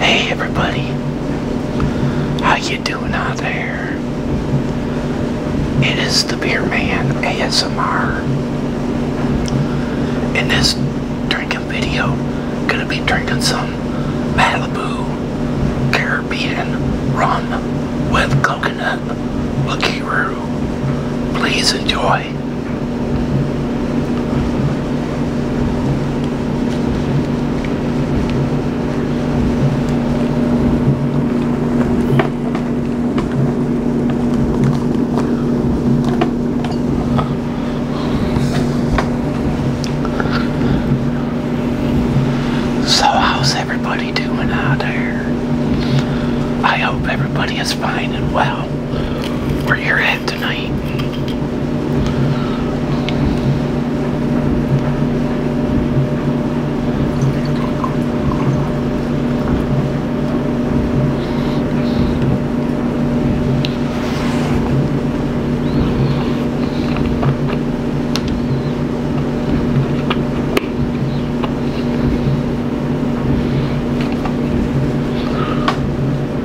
Hey everybody, how you doing out there? It is the Beer Man ASMR. In this drinking video, gonna be drinking some Malibu Caribbean rum with coconut liqueur. Please enjoy. So how's everybody doing out there? I hope everybody is fine and well where you're at tonight.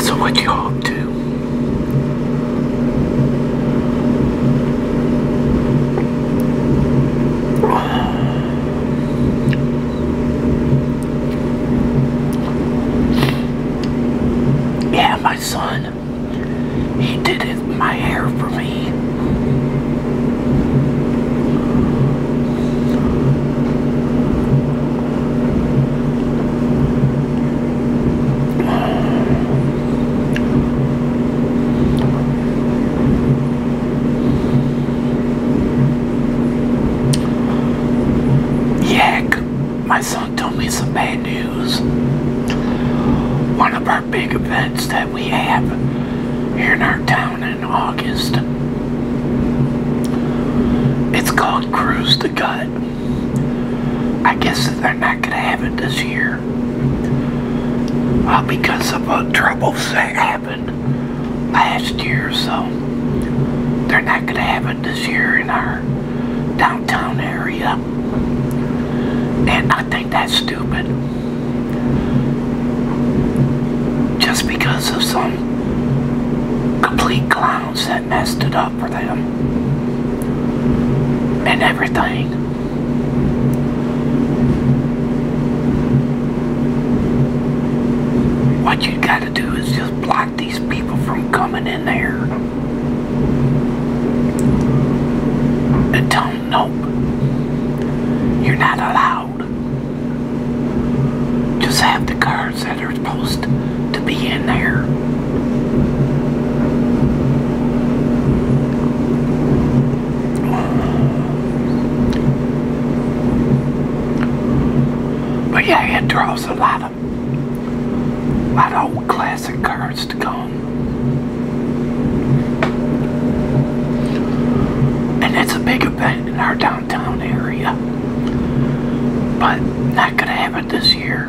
So what do you all do? Yeah, my son. He did it, my hair for me. Yak, my son told me some bad news. One of our big events that we have here in our town in August. It's called Cruise the Gut. I guess they're not going to have it this year because of a trouble that happened last year, so they're not going to have it this year in our downtown area. And I think that's stupid. Just because of some complete clowns that messed it up for them. And everything. What you got to do is just block these people from coming in there. And tell them, nope, you're not allowed. Just have the cars that are supposed to be in there. But yeah, it draws a lot of a lot of old classic cars to come. And it's a big event in our downtown area. But not gonna happen this year.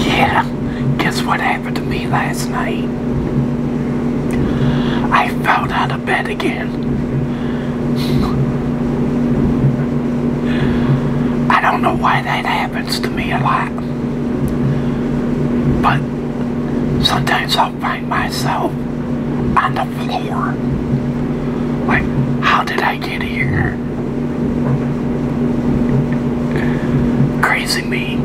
Yeah, guess what happened to me last night? I fell out of bed again. I don't know why that happens to me a lot. But sometimes i find myself on the floor. Like, how did I get here? Crazy me.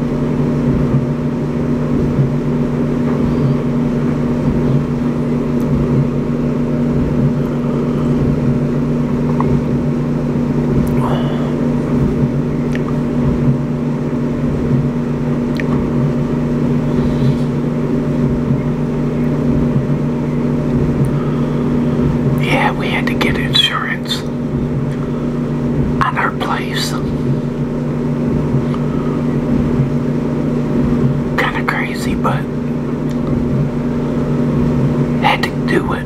Yeah, we had to get insurance parents and our place. Kind of crazy, but had to do it.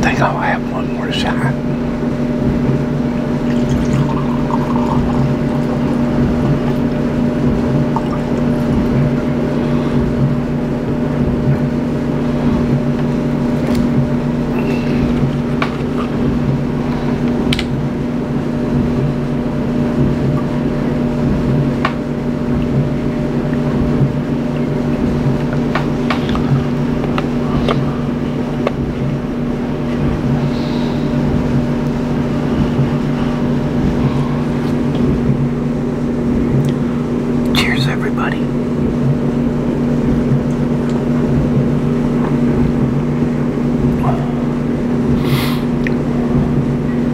think I'll have one more shot. Cheers, everybody.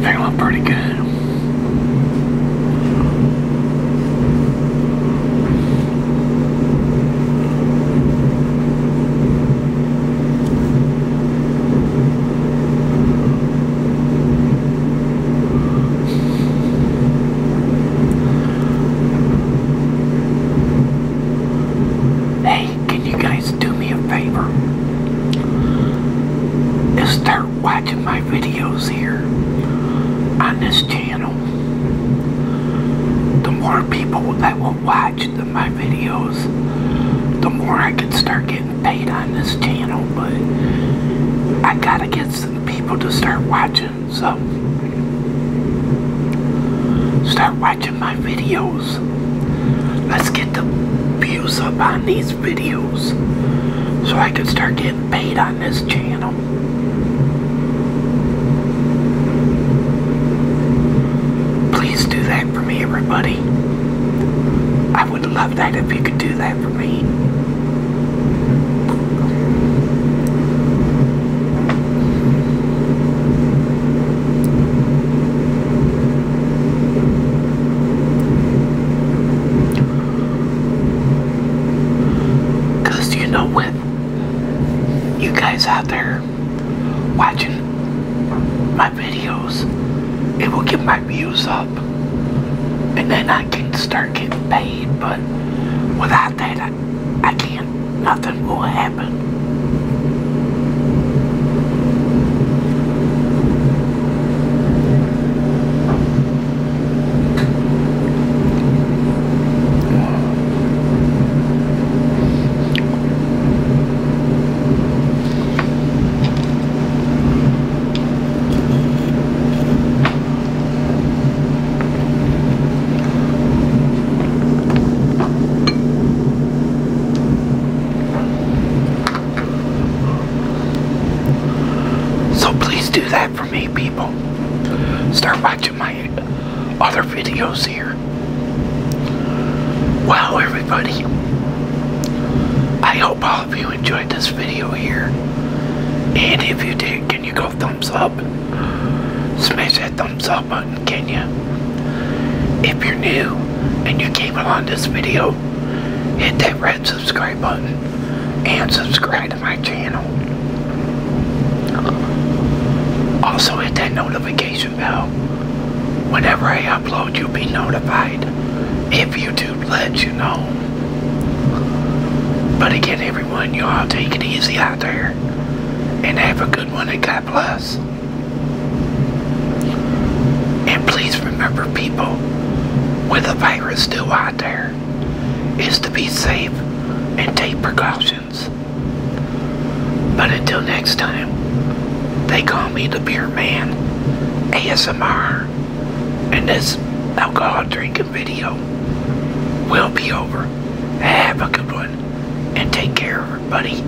Feeling pretty good. Hey, can you guys do me a favor and start watching my videos here on this channel? channel, the more people that will watch my videos, the more I can start getting paid on this channel. But I gotta get some people to start watching, so start watching my videos. Let's get the views up on these videos so I can start getting paid on this channel. Please do that for me, everybody. I would love that if you could do that for me. Because you know what? You guys out there watching my videos, it will get my views up. And then I can start getting paid, but without that, I, I can't. Nothing will happen. So please do that for me, people. Start watching my uh, other videos here. Wow, everybody. I hope all of you enjoyed this video here. And if you did, can you go thumbs up? Smash that thumbs up button, can you? If you're new and you came along this video, hit that red red subscribe button and subscribe to my channel. Also hit that notification bell. Whenever I upload, you'll be notified if YouTube lets you know. But again, everyone, you all take it easy out there. And have a good one at God bless. And please remember people, with a virus do I out there is to be safe and take precautions. But until next time, they call me the Beer Man ASMR, and this alcohol drinking video will be over. Have a good one, and take care, everybody.